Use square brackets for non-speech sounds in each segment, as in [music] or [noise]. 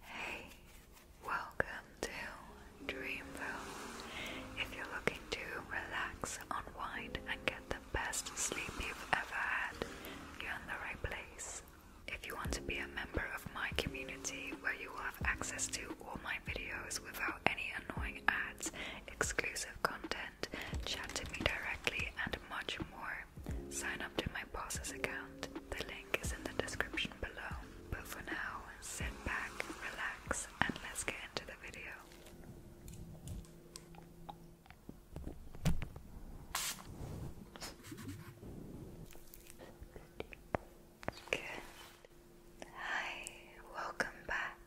Hey, welcome to Dreamville. If you're looking to relax, unwind, and get the best sleep you've ever had, you're in the right place. If you want to be a member of my community where you will have access to all my videos without any annoying ads, exclusive content, chat to me directly, and much more, sign up to my boss's account. The link is in the description below. But for now, sit back, relax, and let's get into the video. Good. Hi, welcome back.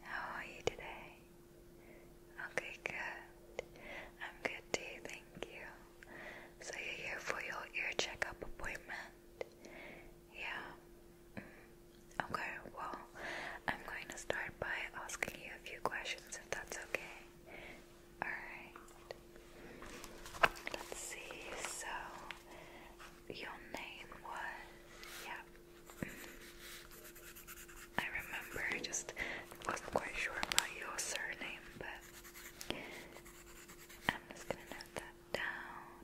How are you today? Okay, good. I'm good too, thank you. So you're here for your ear checkup appointment? Yeah. Mm. Okay, well, I'm going to start by asking you a few questions if that's okay. Alright. Let's see, so your name was yeah. Mm. I remember, I just wasn't quite sure about your surname, but I'm just gonna note that down.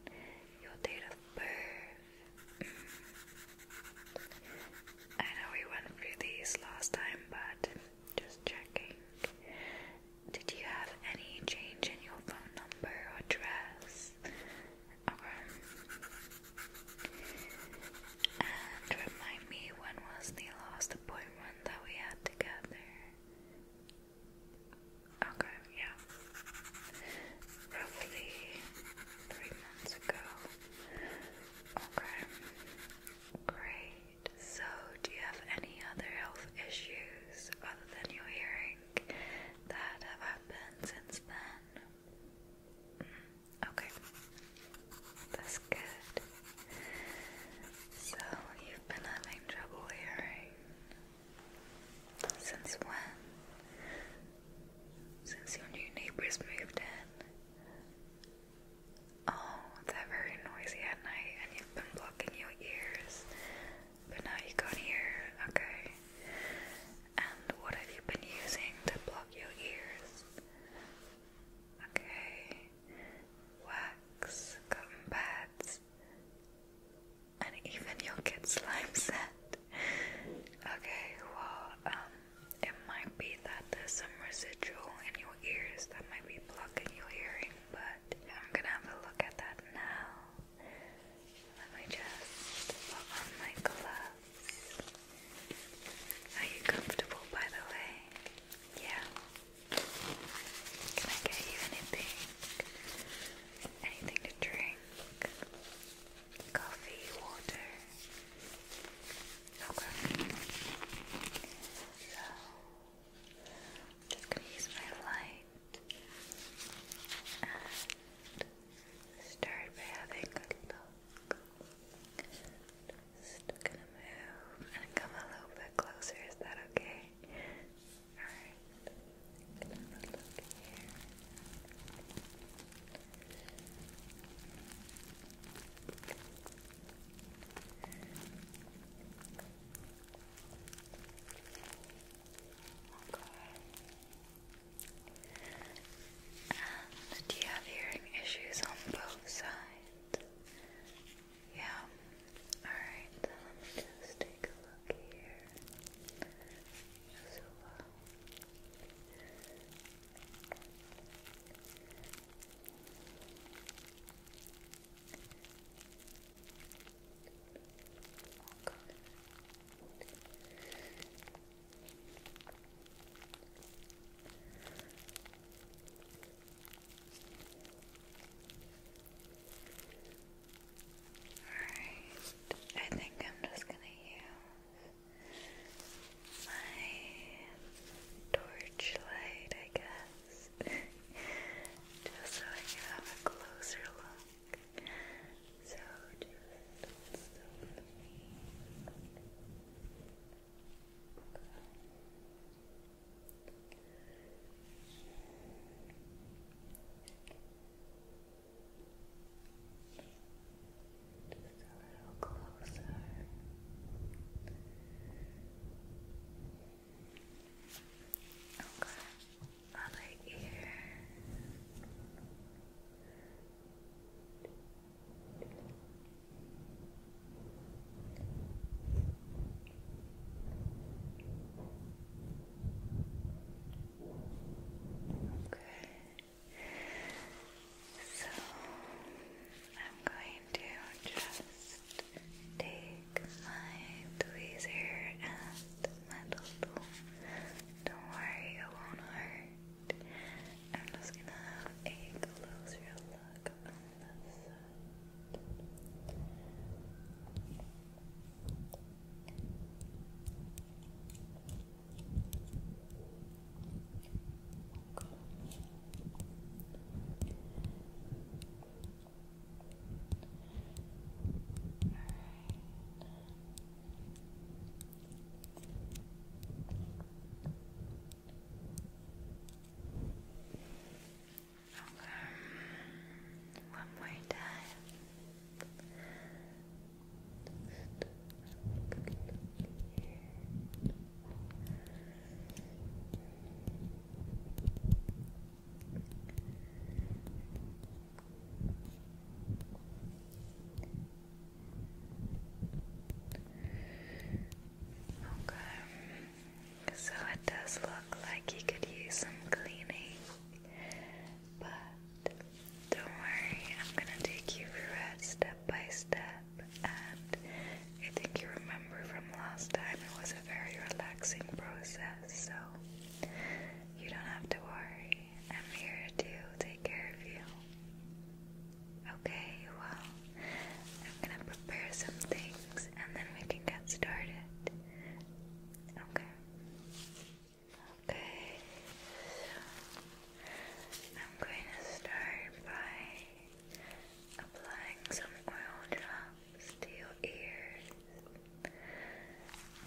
Your date of birth. Mm. I know we went through these last time, but just checking. Did you have any change in your phone number address? Okay. And remind me when was the last appointment that we had together? Okay, yeah. Roughly three months ago. Okay. Great. So, do you have any other health issues other than your hearing that have happened since then? Mm, okay. That's good. So you've been having trouble hearing since when? Since your new neighbors moved in. Oh, they're very noisy at night and you've been blocking your ears. But now you can't hear, okay. And what have you been using to block your ears? Okay wax, cotton pads, and even you'll slime scent. Okay, well, um, it might be that there's some residual in your ears that might be blocking your hearing, but I'm gonna have a look at that now. Let me just put on my gloves. Are you comfortable, by the way? Yeah. Can I get you anything? Anything to drink? Coffee, water? Okay. So, just gonna use my light and start by having a look. Just gonna move and come a little bit closer. Is that okay? Alright. do you have hearing issues on both sides? Yeah. Alright, so let me just take a look here. So, uh, Okay. Okay. Alright, I think I'm just gonna use my torchlight, I guess, [laughs] just so I can have a closer look. So, just let me. Just a little closer. Okay, other ear. Okay. So I'm going to just take my tweezer and my tool. Don't worry, it won't hurt. I'm just gonna have a closer look this side. All right. Okay. One more time. Okay. So it does look like you could use some cleaning. But don't worry, I'm gonna take you through it step by step. And I think you remember from last time it was a very relaxing process, so you don't have to worry. I'm here to take care of you. Okay, well, I'm gonna prepare some things and then we can get started. Okay. Okay. So I'm going to start by applying some oil drops to your ears.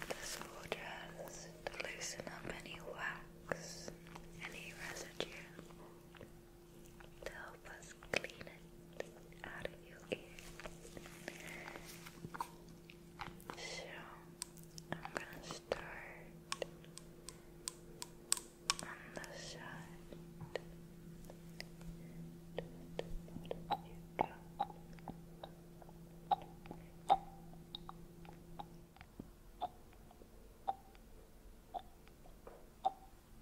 This will just loosen up any wax, any residue to help us clean it out of your So, I'm gonna start on the side. you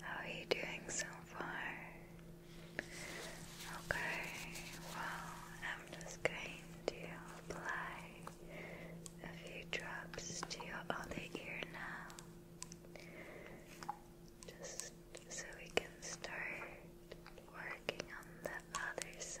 How are you doing so far? Okay, well, I'm just going to apply a few drops to your other ear now, just so we can start working on the other side.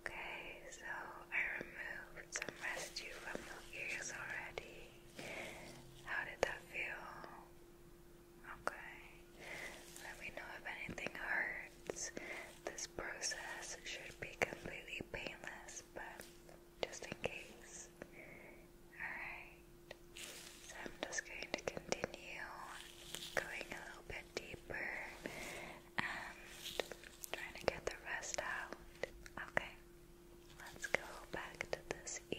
Okay, so I removed removed some residue from your ears already. How did that feel? Okay. Let me know if anything hurts. This process should be completely painless, but just in case. Alright. So I'm just going to continue going a little bit deeper and trying to get the rest out. Okay. Let's go back to this ear.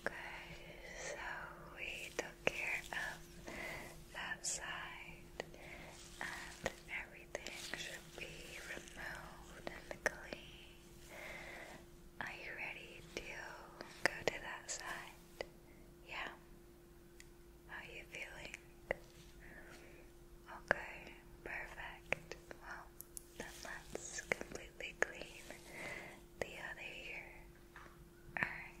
Okay, so we took care of that side and everything should be removed and clean. Are you ready to go to that side? Yeah. How are you feeling? Okay, perfect. Well, then let's completely clean the other ear. Alright.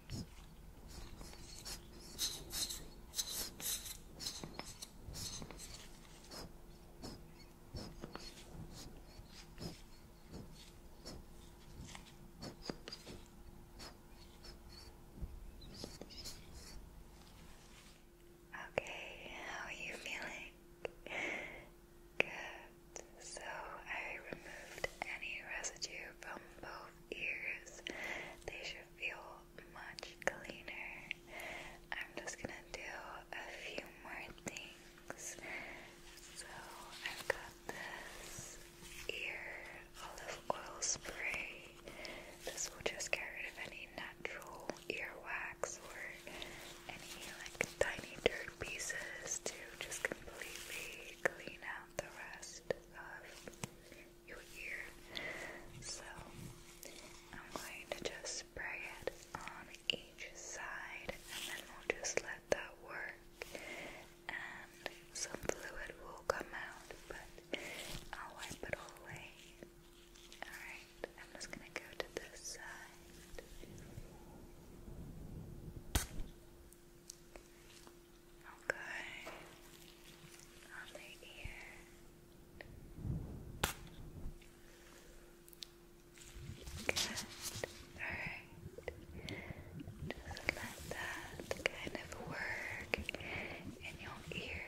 Okay, how are you feeling? [laughs] Good so I removed any residue from both ears. They should feel much cleaner. I'm just gonna do a few more things. So I've got this ear olive oil spray. This will just get rid of any natural earwax or any like tiny dirt pieces to just completely clean out the rest of your ear. So I'm going to just spray it on each side and then we'll just let that work and some fluid will come out but I'll wipe it all away. Alright, I'm just gonna go to this side. Okay. On the ear. Good. Alright. Just let that kind of work in your ear.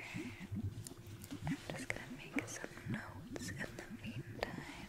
I'm just gonna make some notes in the meantime.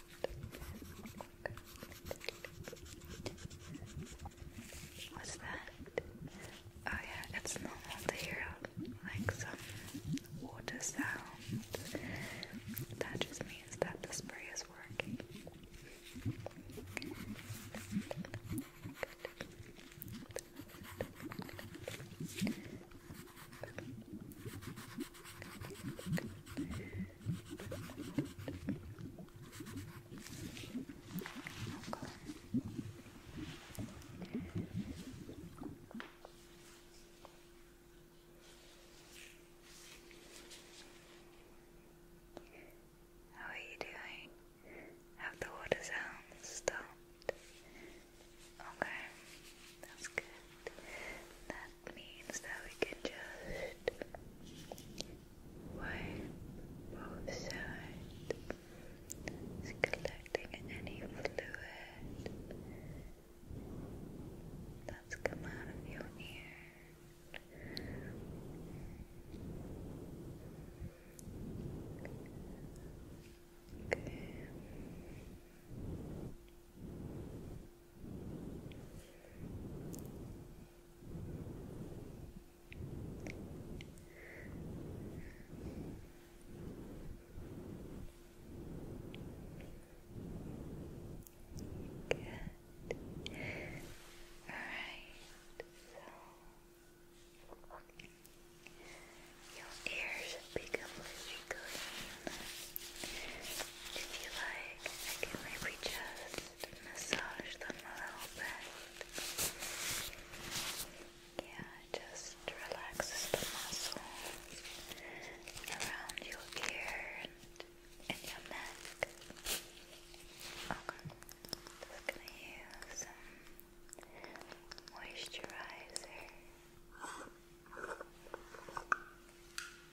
What's that? Oh yeah, it's normal to hear like some water sounds. That just means that the spray is working. How are you doing? Have the water sounds stopped? Okay. That's good. That means that we can just wipe both sides, collecting any fluid that's come out of your ear. Okay. Good. Alright, your ears should be completely clean. If you like, I can maybe just massage them a little bit. Yeah, just relaxes the muscles around your ear and your neck. Okay, just gonna use some moisturizer.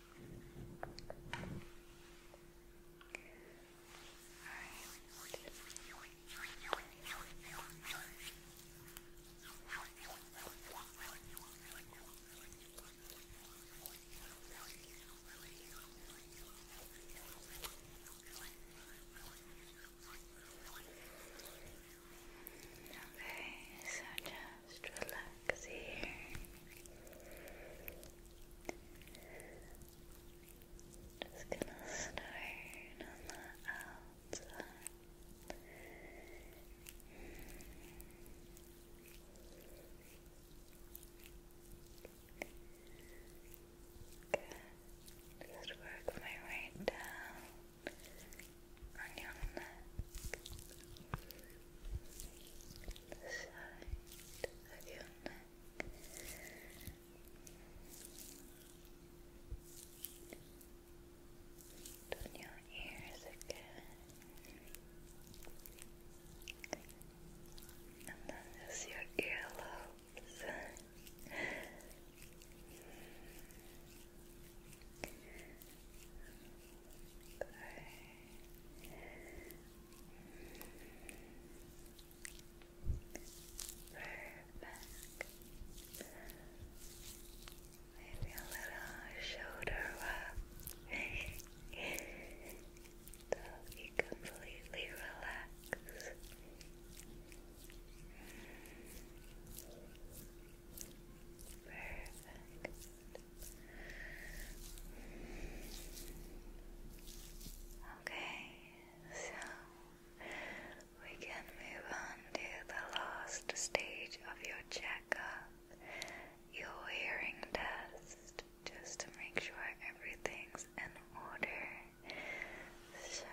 Okay, so just just relax here. Just gonna start on the outside. Good. Just work my way down on your neck, the your neck. On your ears again, and then just your earlobes. Perfect. Maybe a little shoulder rub [laughs] so you completely relax. Perfect. Okay, so we can move on to the last stage of your checkup, your hearing test, just to make sure everything's in order. So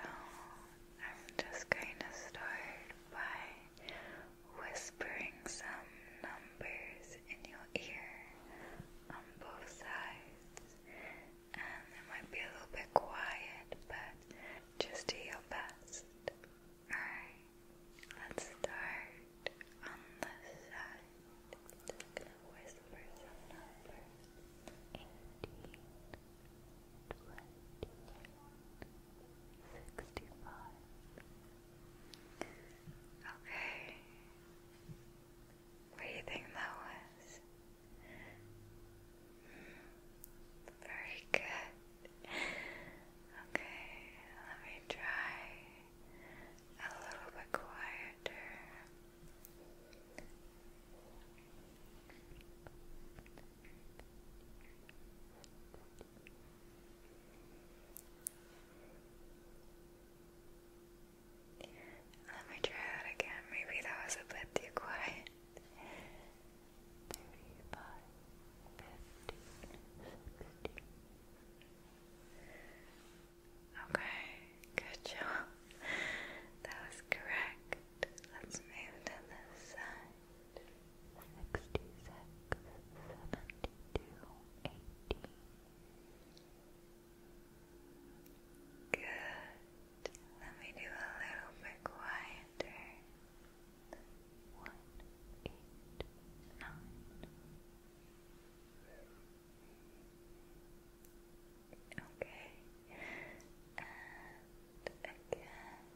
I'm just going to start by whispering some numbers in your ear on both sides, and it might be a little bit quiet, but just do your best. Alright, let's start on this side. Just gonna whisper some numbers. 18, Okay. What do you think that was? Hmm. Very good. Okay, let me try a little bit quieter. Let me try that again. Maybe that was a bit too quiet. Okay, good job. That was correct. Let's move to this side sixty-six, seventy-two, eighty. Good. Let me do a little bit quieter. One, eight, nine. Okay. And again.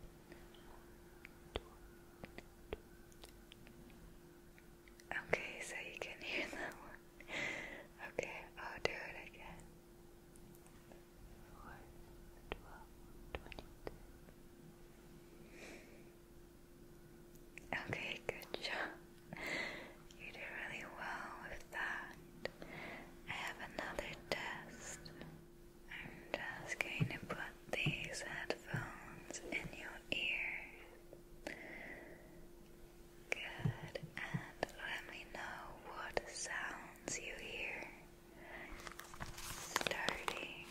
Okay, so you can hear that one. Okay, I'll do it again. Four, twelve, twenty-two. Okay, good job. You did really well with that. I have another test. I'm just going to put these headphones in your ear. Good, and let me know what sounds you hear. Starting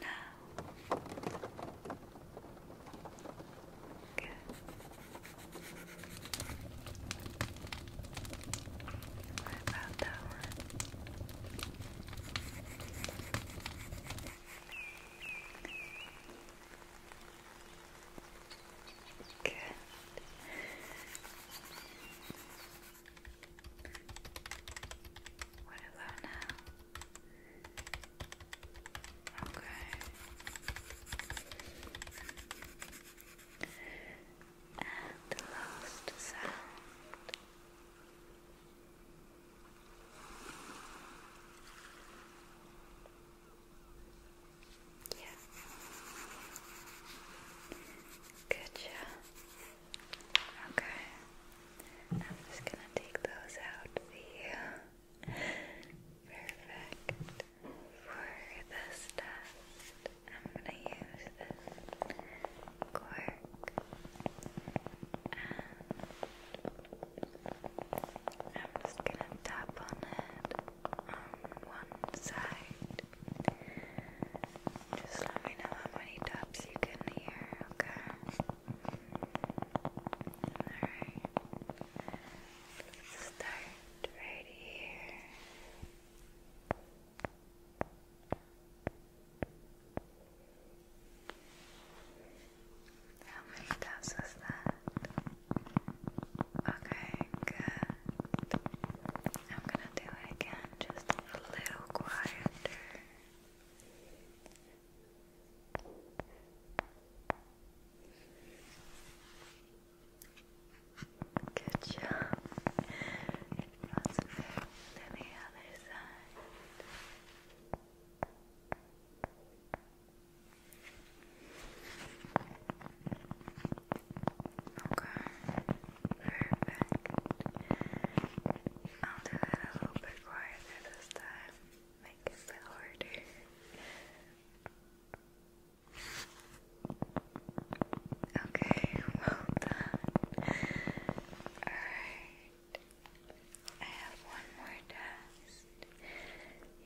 now. Good. What about that one? Good. What about now? Okay. And the last sound. Yeah. Good job. Okay. I'm just gonna take those out for you. Perfect. For this test, I'm gonna use this cork and I'm just gonna tap on it on one side. Just let me know how many taps you can hear, okay? Alright. Let's start right here. How many times was that? Okay, good. I'm gonna do it again, just a little quieter. Good job. let the other side perfect. I'll do it a little bit quieter this time, make it a bit harder. Okay, well done. Alright. I have one more test.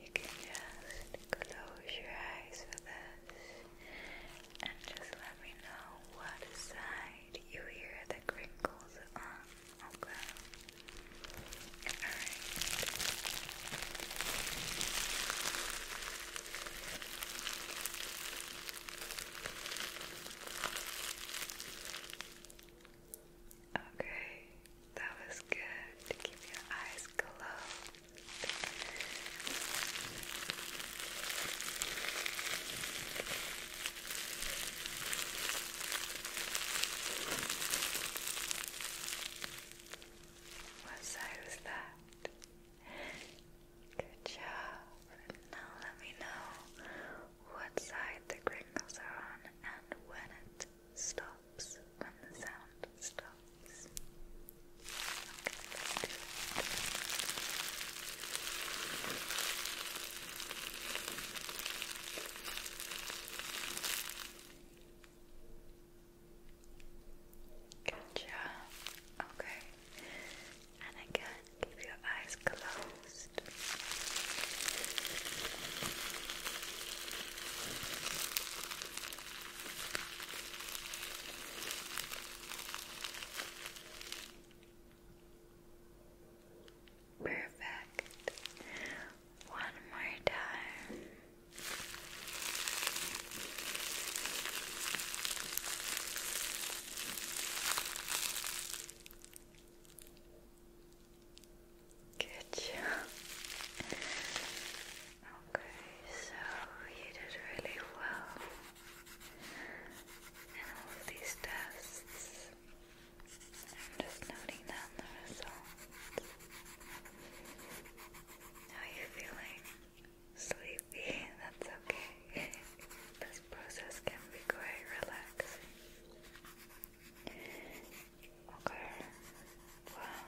You can just close your eyes for this and just let me know what side you hear the crinkles on, okay? Alright. Okay, that was good keep your eyes closed. What side was that? Good job. Now let me know what side the crinkles are on and when it stops, when the sound stops. Okay, let Okay. And again, keep your eyes closed. Perfect. One more time. Good job. Okay, so you did really well in all of these tests. I'm just noting down the results. are you feeling? Sleepy, that's okay. [laughs] this process can be quite relaxing. Okay, well,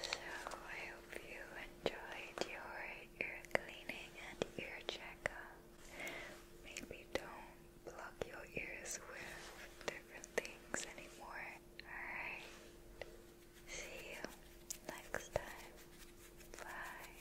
so I hope you enjoyed your ear cleaning and ear checkup. Maybe don't block your ears with different things anymore. Alright, see you next time. Bye.